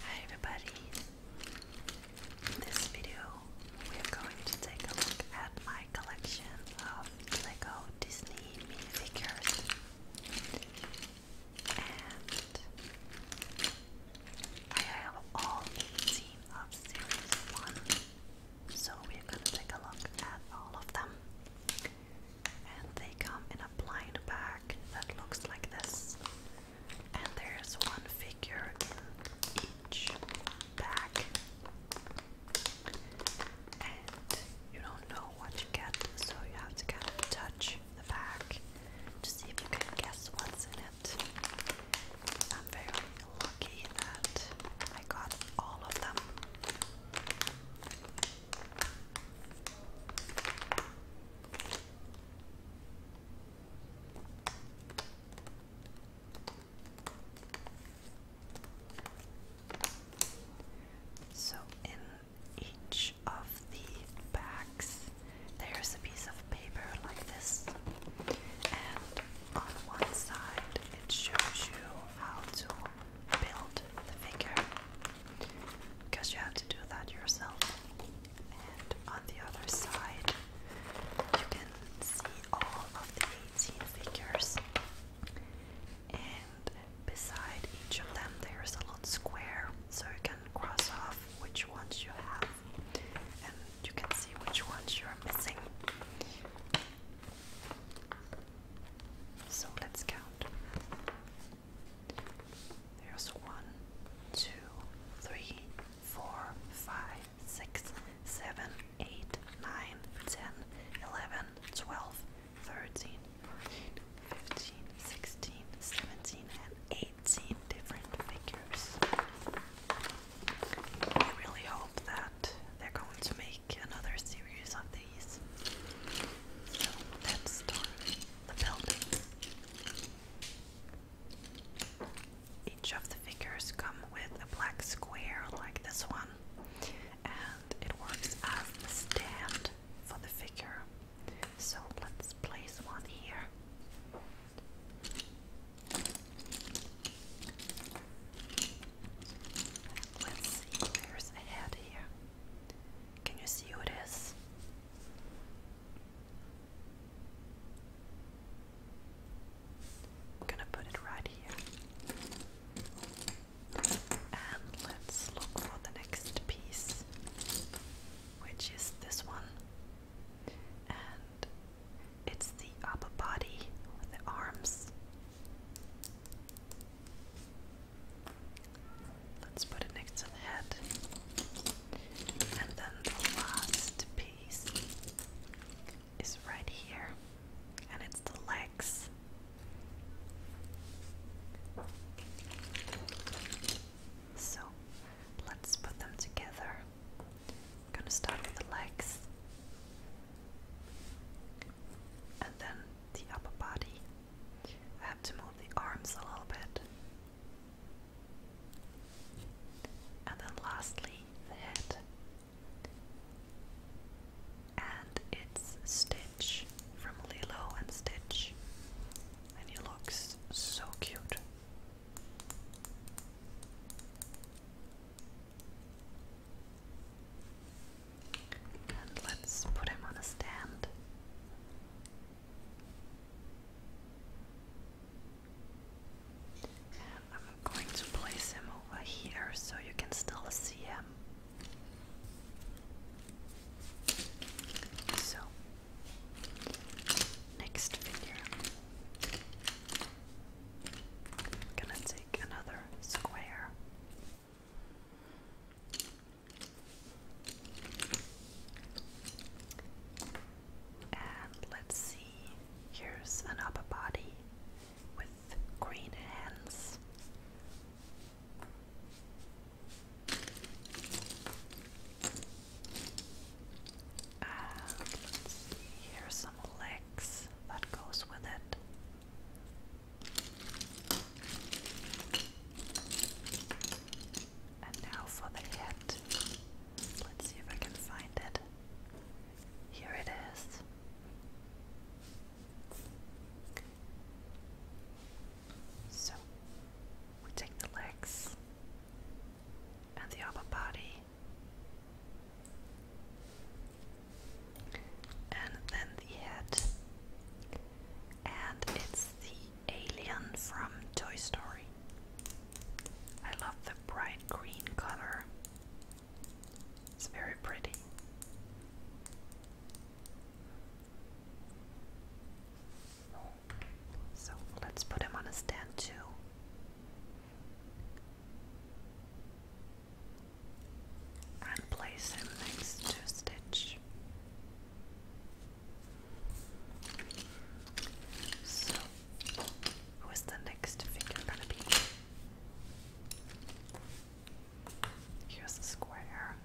Hi everybody. In this video, we are going to take a look at my collection of Lego Disney minifigures. And I have all 18 of series 1, so we're gonna take a look at all of them. And they come in a blind bag that looks like this. And there's one figure in each bag. And you don't know what you get, so you have to kind of touch the bag to see if you can guess what's in it. I'm very lucky that I got all of them. So in each of the bags, there's a piece of paper like this, and on one side it shows you how to build the figure because you have to do that yourself, and on the other side you can see all of the 18 figures, and beside each of them there is a little square so you can cross off which ones you have and you can see which ones you are missing. So let's count. There's one, two, three, four, five, six, seven, eight, nine, ten, eleven, twelve, thirteen, fourteen, fifteen, sixteen, seventeen, and eighteen different figures. I really hope that they're going to make another series of these. let's start the building. Each of the figures come with a black square like this one, and it works as the stand for the figure. So let's place one here. Let's see where's a here. Can you see who it is? I'm gonna put it right here. And let's look for the next piece, which is this one. It's the upper body with the arms. Let's put it next to the head. And then the last piece is right here, and it's the legs. So let's put them together. I'm gonna start with the legs and then the upper body. I have to move the arms a little bit. And then lastly, the head. And it's Stitch from Lilo and Stitch. And he looks so cute let's put him on a stand. And I'm going to place him over here so you can still see him. So Next figure. I'm gonna take another square. And let's see, here's an upper body with green hands here's some legs that goes with it. And now for the head. Let's see if I can find it. Here it is. So we take the legs and the upper body, and then the head. And it's the alien from Toy Story. I love the bright green color, it's very pretty. So let's put him on a stand too. And place him next to Stitch. So, who is the next figure gonna be? Here's a square.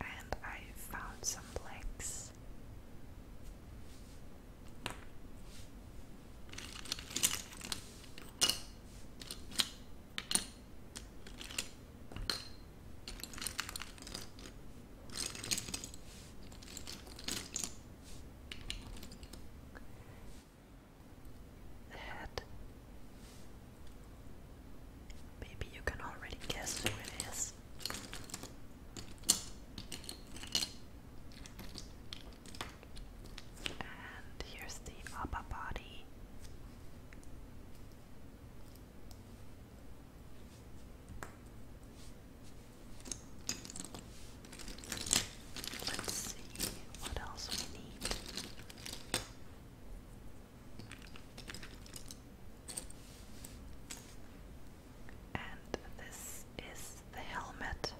And I found some legs head. Maybe you can already guess who it is. And here's the upper body. Let's see what else we need. And this is the helmet.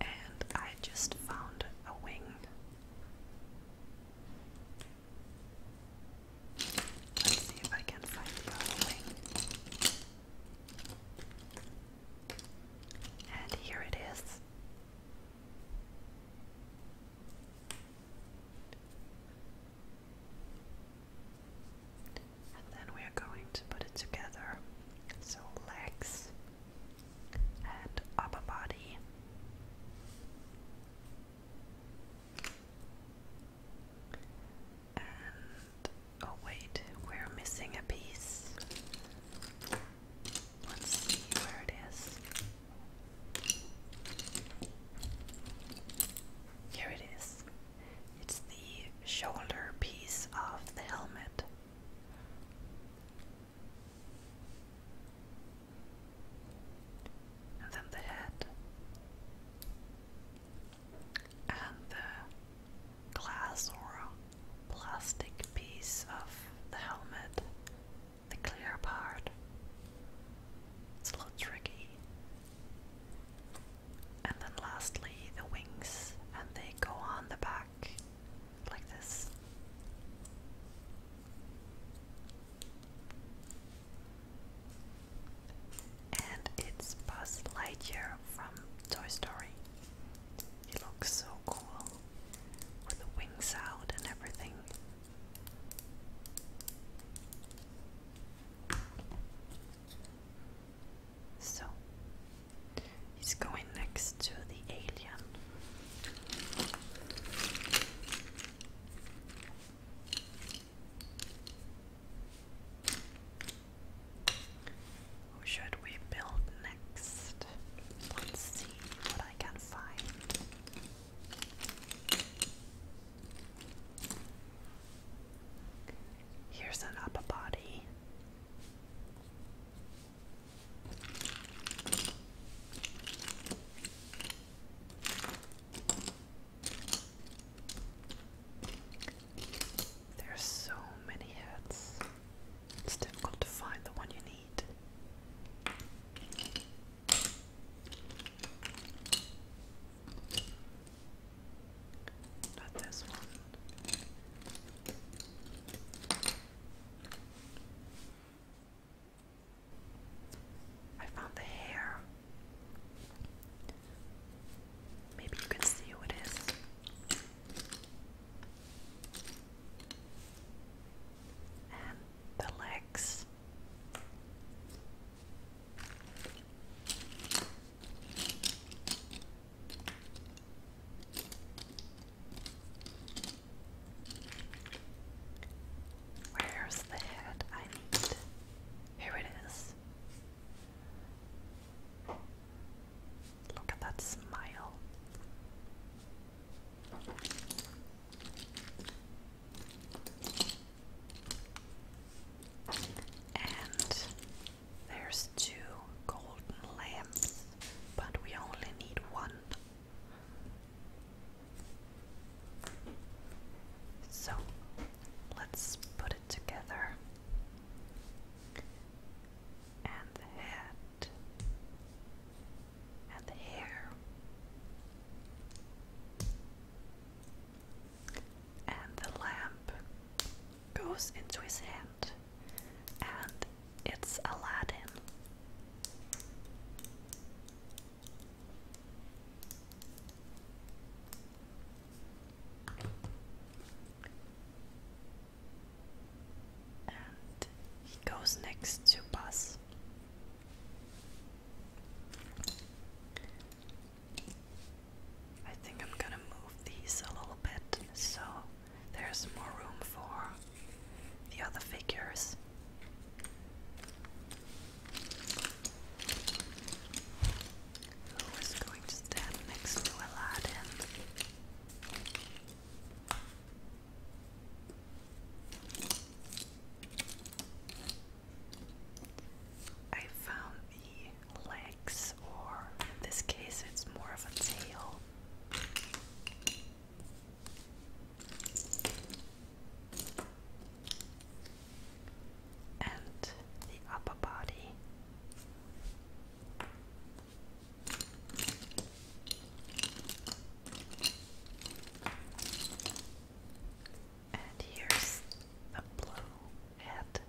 And I just found a wing. Let's see if I can find the other And here it is. And then we are going to put it together. So legs and upper body. And oh, wait, we're missing a piece. Let's see where it is. Here it is. It's the shoulder piece of the helmet and then the head and the glass or plastic piece of the helmet, the clear part. It's a little tricky. And then lastly, the wings, and they go on the back like this. And it's Buzz Lightyear from Toy Story. He looks so cool with the wings out and everything. So he's going next to the alien should we build next? Let's see what I can find. Here's an upper body. There are so many hats. It's difficult to find the one you need. Not this one. I found the hair. Maybe you can see who it is. And the legs. Where's the head I need? Here it is. Look at that smile. And there's two golden lamps, but we only need one. So let's put it together. And the head and the hair and the lamp goes into his hand and it's Aladdin. And he goes next to Buzz. I think I'm gonna move these a little bit so there's more room for the other figures. Who is going to stand next to Aladdin? I found the legs, or in this case, it's more of a tail and the upper body. And here's the blue head.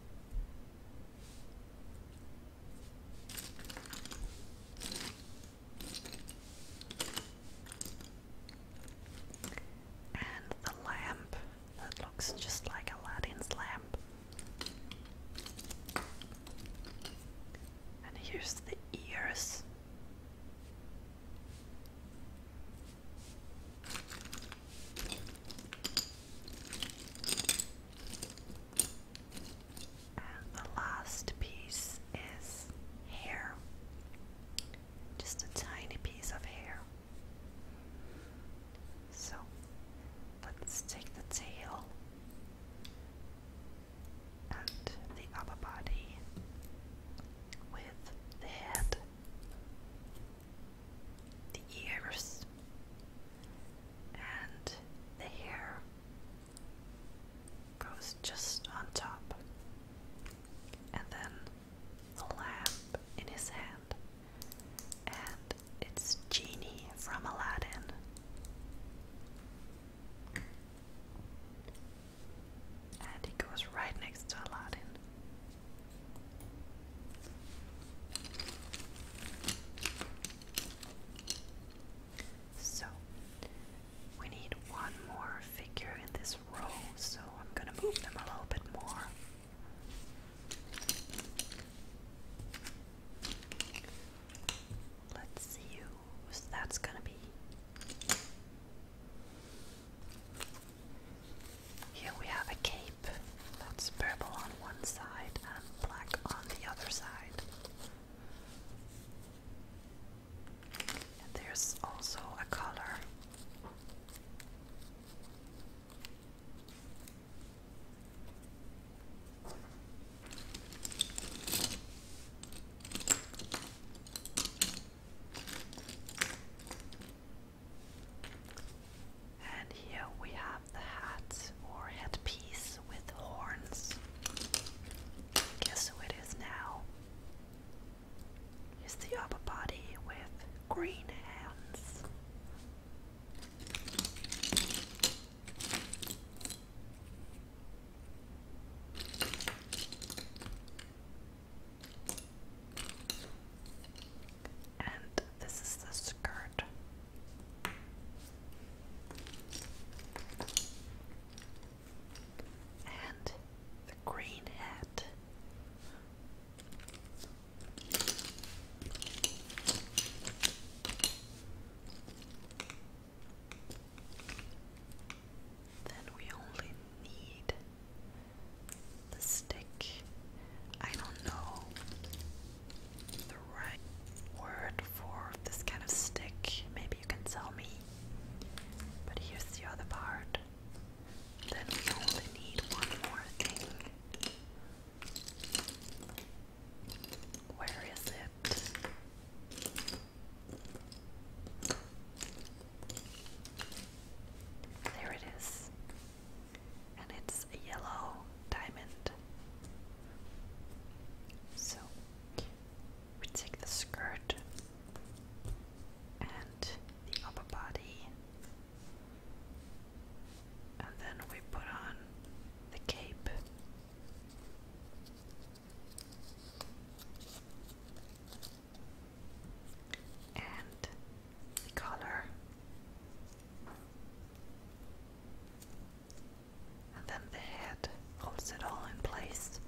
And the lamp that looks just like Aladdin's lamp. And here's the ears the last piece is hair. Just a tiny piece of hair. So let's take the tail and the upper body with the head, the ears, and the hair goes just on top. And then the lamp in his hand. And it's Genie from Aladdin. And he goes right next to Aladdin. So, we need one more figure in this row, so I'm gonna move them a little bit more. Let's see who that's gonna be. Here we have a cape that's purple on one side and black on the other side there's also a color. And here we have the hat or headpiece with horns. Guess who it is now? It's the upper body with green hands. And this is the skirt and the green hat. Then we only need the stick. I don't know the right word for this kind of stick. Maybe you can tell me. But here's the other part. Then we only need one more thing. Where is it? There it is. And it's a yellow diamond. So we take the skirt and the upper body, and then we put on the cape. And the collar, and then the head holds it all in place.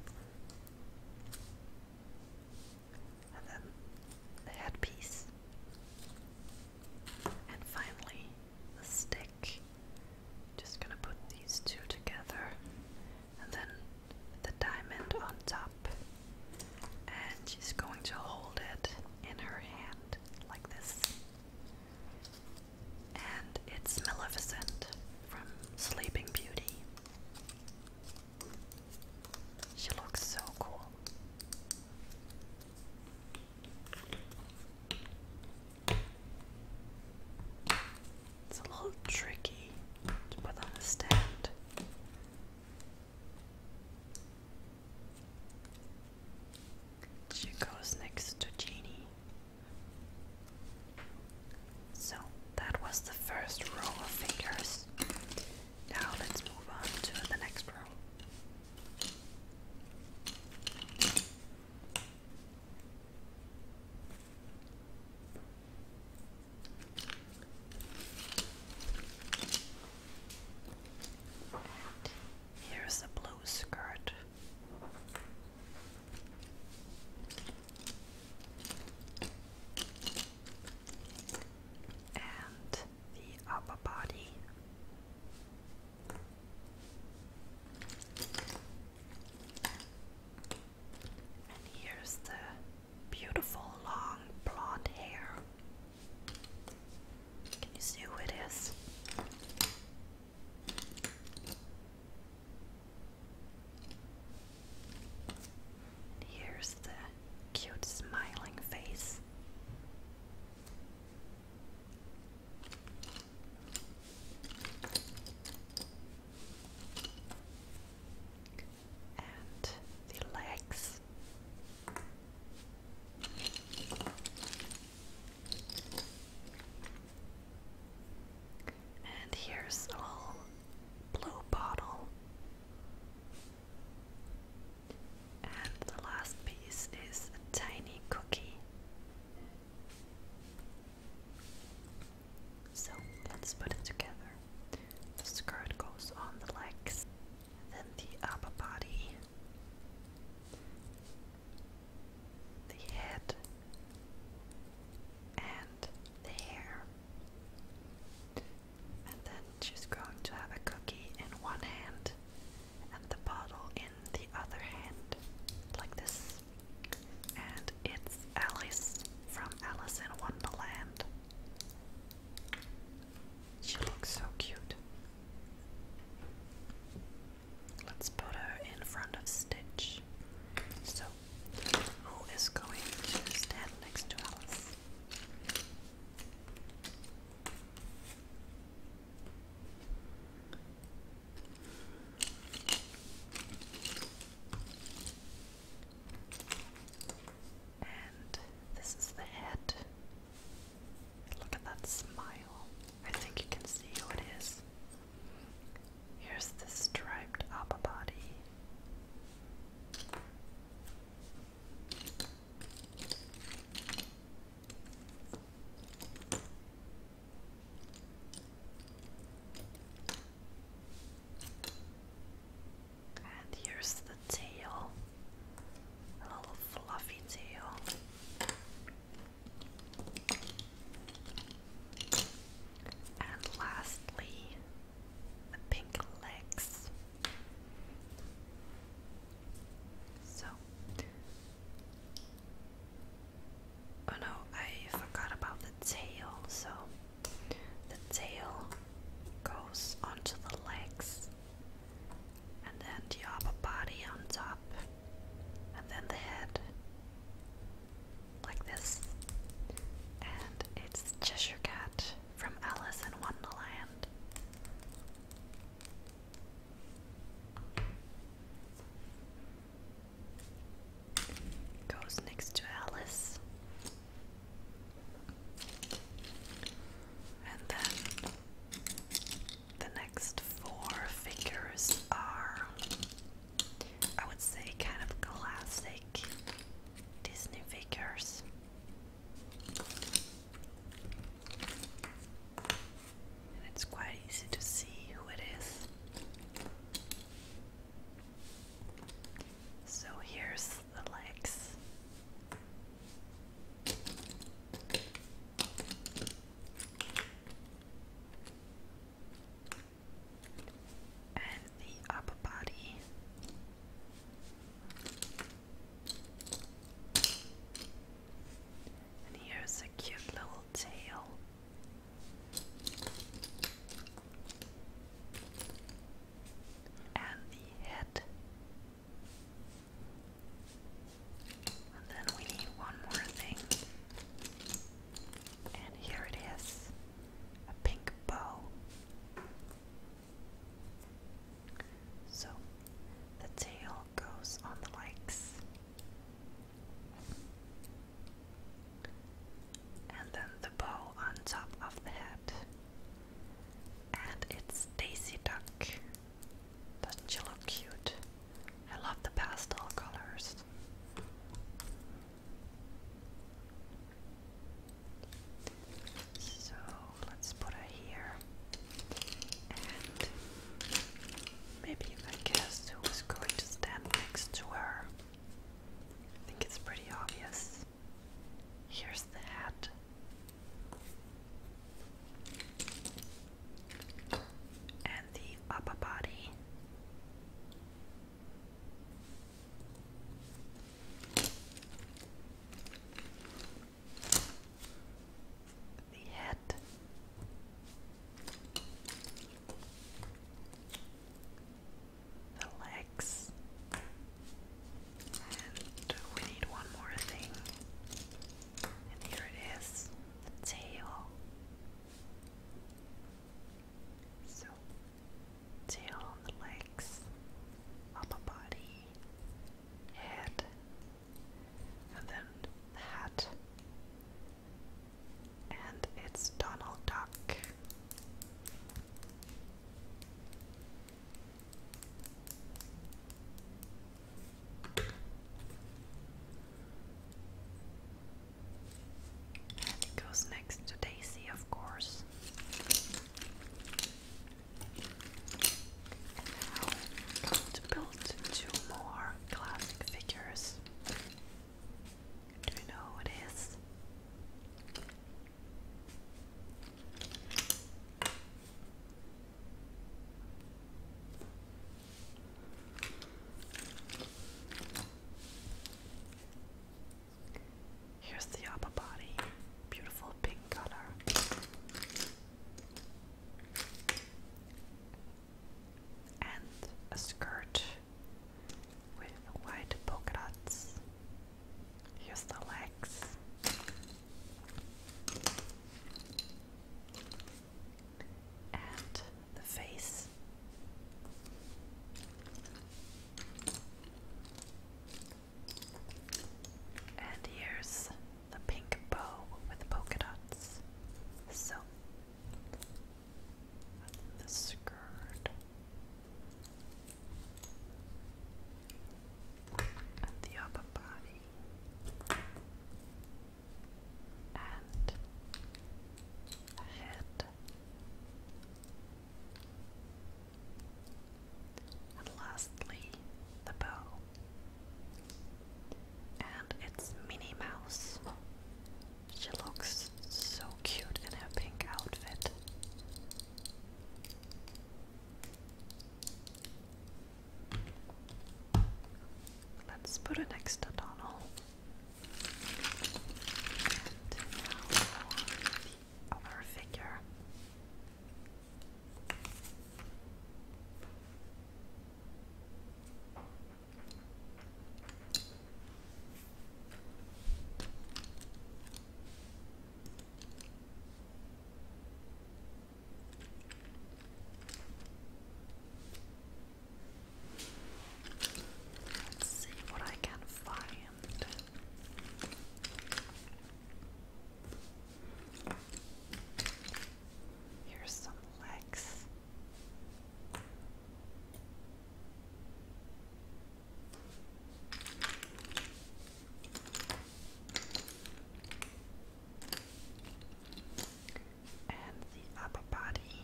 And then the headpiece. And finally, the stick. Just gonna put these two together. And then the diamond on top. And she's going to hold it in her hand like this and it's Maleficent from Sleeping Beauty. She looks so cool. It's a little tricky to put on a stand. She goes next to Genie. So that was the first row of fingers. Now let's move on to the next row. Here's the blue skirt. And the upper body. And here's the beautiful long blonde hair. Can you see who it is? Here's the cute smiling face. And the legs. And here's a little blue bottle. And the last piece is a tiny cookie. So let's put it together. The skirt goes on the legs, then the upper body, the head and the hair. And then she's going to have a cookie in one hand and the bottle in the other hand, like this. And it's Alice from Alice in Wonderland. She looks so cute. Let's put her in front of Stitch. So, who is going to stand next to Alice? And this is the head Look at that smile. I think you can see who it is. Here's the striped upper body. And here's the tail, a little fluffy tail. And lastly, the pink legs. So, oh no, I forgot about the tail. So, the tail goes onto the legs and then you have a body on top, and then the head, like this. And it's Cheshire Cat from Alice in Wonderland. Goes next to Alice. And then the next four figures are, I would say, kind of classic Disney figures. it's quite easy to see who it is. So here's the legs and the upper body. And here's a cute little tail. And the head. And then we need one more thing. And here it is a pink bow. So the tail goes on the legs. And then the bow on top of the head. And it's Daisy Duck. Doesn't she look cute? I love the pastel colors. So let's put her here. And maybe you can guess who is going to stand next to her. I think it's pretty obvious. Here's the hat and the upper body. The head, the legs, and we need one more thing and here it is, the tail. So, tail on the legs, upper body, head, and then the hat. And it's Donald Duck it goes next to Daisy, of course. now i to build two more classic figures. Do you know what it is? Here's the upper body, beautiful pink color. And a skirt with white polka dots. Here's the legs and the face. And here's the pink bow with polka dots. So, the skirt and the upper body and the head and lastly the bow and it's Minnie Mouse. She looks so cute in her pink outfit. Let's put it next to Donald. And now for figure. Let's see what I can find. Here's some legs and the upper body,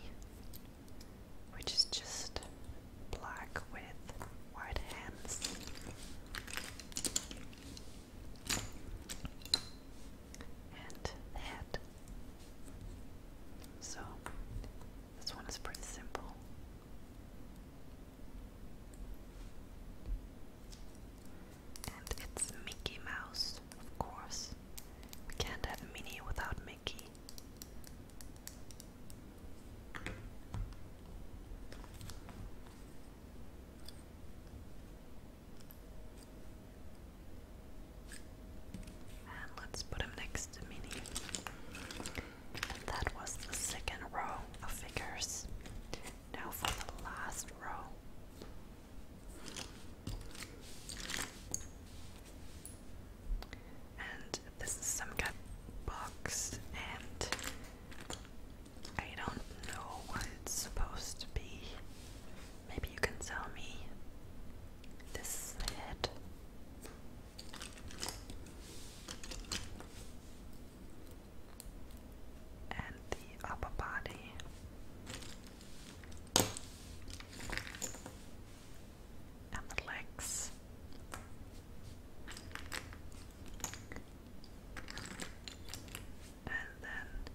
which is just black with white hands. And head. So, this one is pretty simple. And it's Mickey Mouse, of course. We can't have Minnie without Mickey. And let's put him next to Minnie. And that was the second row of figures. Now for the last row. And this is some kind box, and I don't know what it's supposed to be. Maybe you can tell me. This is the and the upper body. And the legs, and then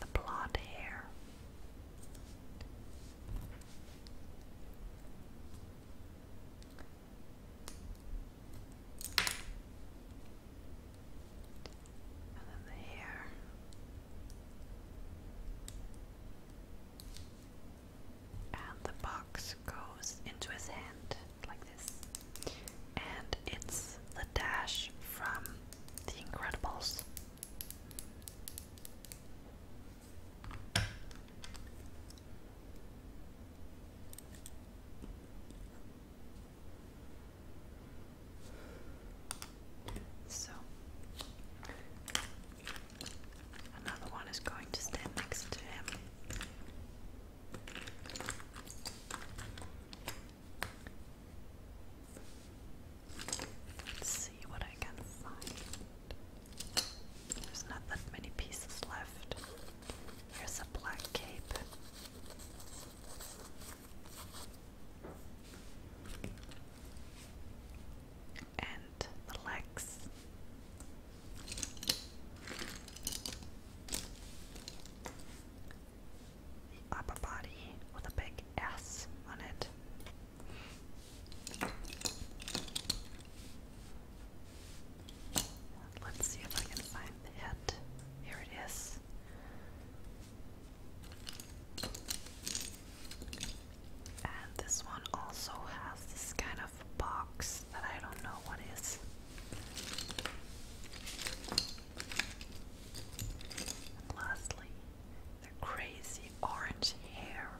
the blonde hair, and the hair. And the box goes into his hand like this. And it's the dash from The Incredibles. So another one is going to stand next to him. Let's see what I can find. There's not that many pieces left. Here's a black cape. And the legs. The upper body with a big S on it. Let's see if I can find the hit. Here it is. And this one also has this kind of box that I don't know what is. lastly, the crazy orange hair.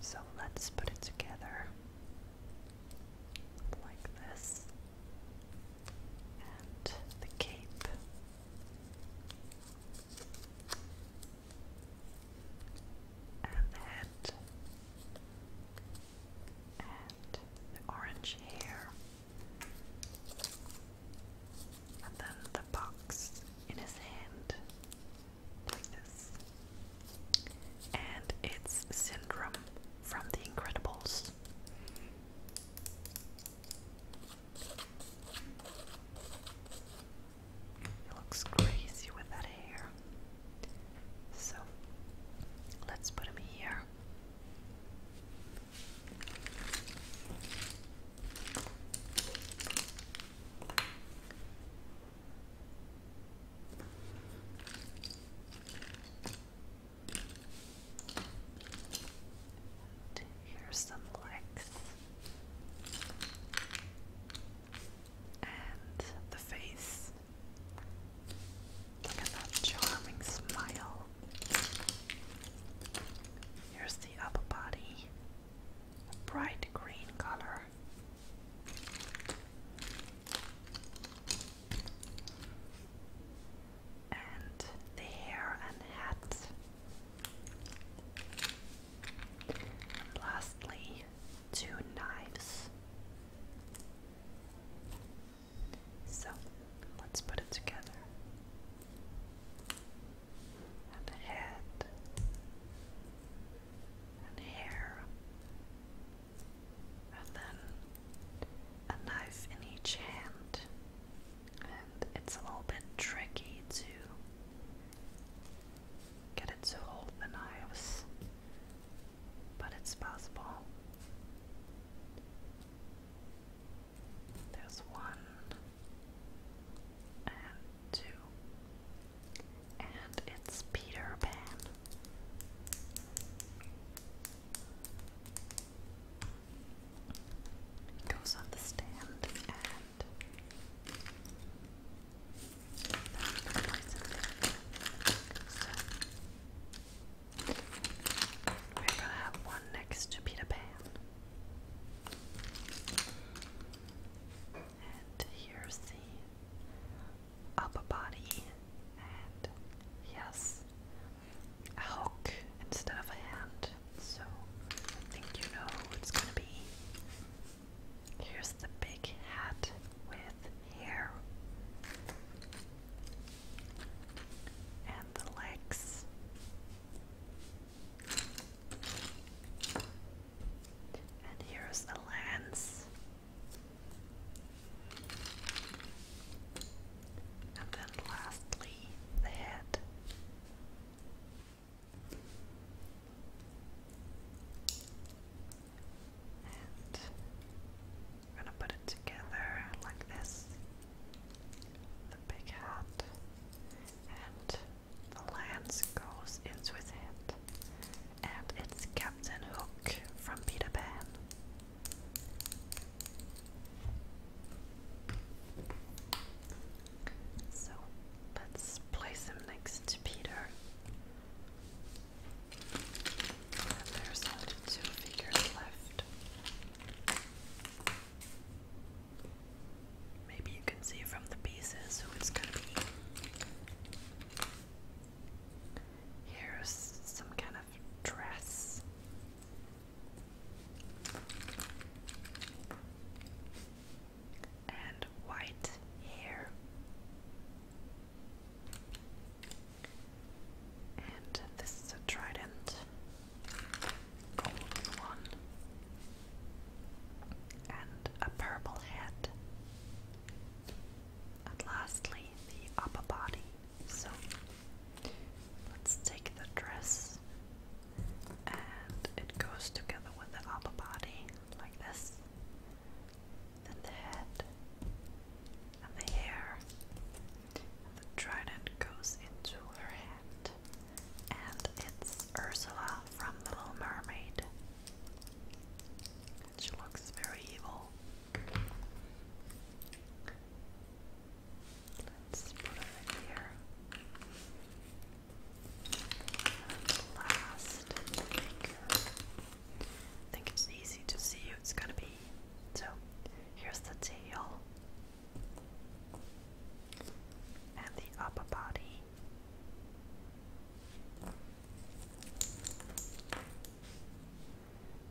So let's put it together like this and the cape. And the head and the orange hair, and then the box in his hand, like this and it's Syndrome from The Incredibles. He looks crazy with that hair. So let's put him here. And here's some legs and the face. Look at that charming smile. Here's the upper body, a bright green color and the hair and hat. And lastly, two knives. So let's put it together. And head and hair and then a knife in each hand. And it's a little bit tricky to get it to hold the knives, but it's possible. There's one and two, and it's Peter Pan. It goes on the stand and we're gonna have one next to Peter Pan. And here's the upper body, and yes, a hook instead of a hand. So I think you know who it's gonna be. Here's the big hat with hair. And the legs. And here's the lens. And then lastly, the head. And we're gonna put it together like this. The big hat and the lance goes in it and it's Captain Hook from Peter Pan. So let's place him next to Peter. And there's only two figures left. Maybe you can see from the pieces who gonna be. Here's some kind of dress. And white hair. And this is a trident. Golden one. And a purple head and lastly the upper body. So let's take the dress and it goes together with the upper body like this. Then the head and the hair. the trident goes into her hand. And it's Ursula from The Little Mermaid. she looks very evil. Let's put it here. last, I think it's easy to see who it's gonna be. So here's the tail and the upper body.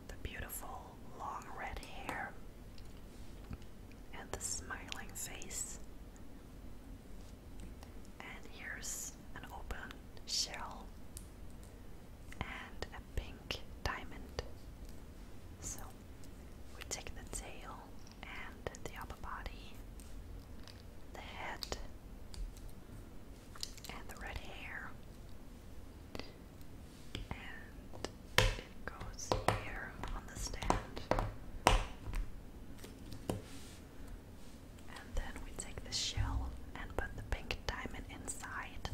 The beautiful long red hair and the smiling face. And here's an open shell and a pink diamond. So we take the tail and the upper body, the head, and the red hair. And it goes here on the stand. And then we take the shell and put the pink diamond inside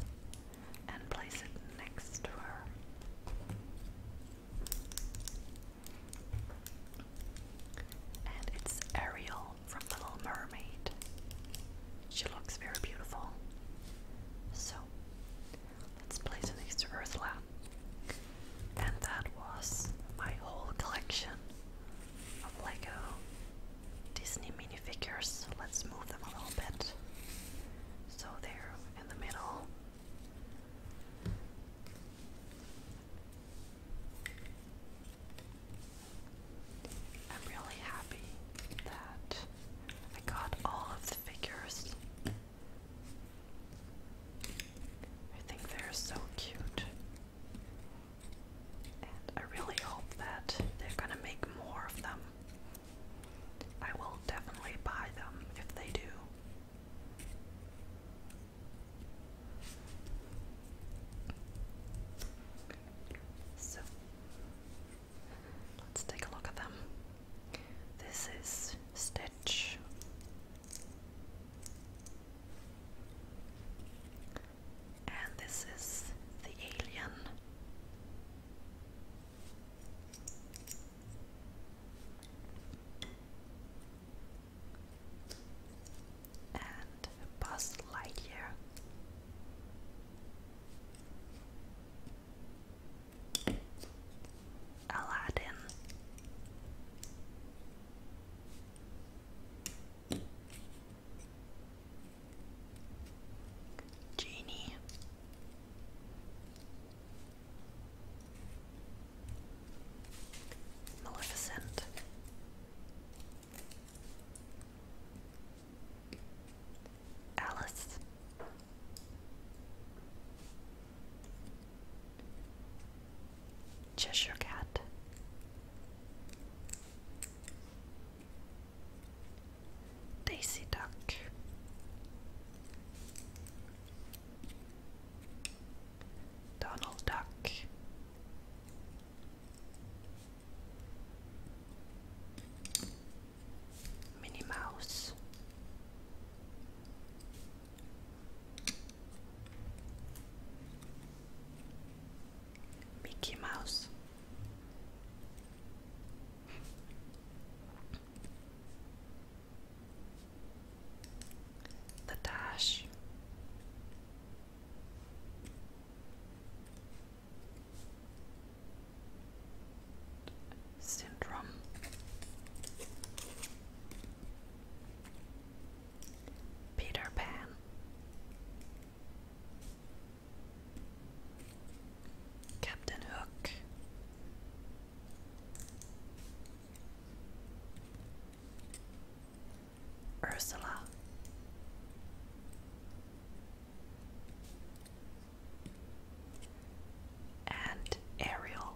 and place it next to her. And it's Ariel from Little Mermaid. She looks very beautiful. So, let's place it next to And that was my whole collection of Lego Disney minifigures. Let's move them a little bit. So, they're in the middle. I'm really happy that I got all of the figures. I think they're so cute. And I really hope that they're gonna make more of them. I will definitely buy them if they do. So let's take a look at them. This is Stitch. And this is the alien and Buzz Lightyear. Aladdin. Genie. Maleficent. Alice. Cheshire Cat. Daisy Duck. Donald Duck. Minnie Mouse. Mickey Mouse. The syndrome. Peter Pan. Captain Hook. Ursula. And Ariel.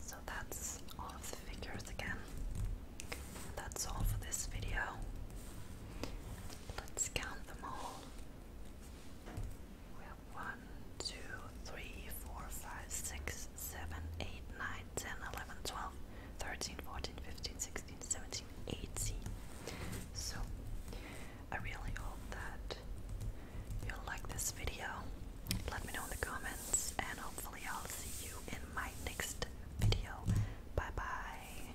So that's all the figures again. That's all for this video. Let's count them all. We have 1, 10, 11, 12, 13, 14, 15, 16, 17, 18. So, I really hope that you'll like this video. Let me know in the comments, and hopefully, I'll see you in my next video. Bye bye.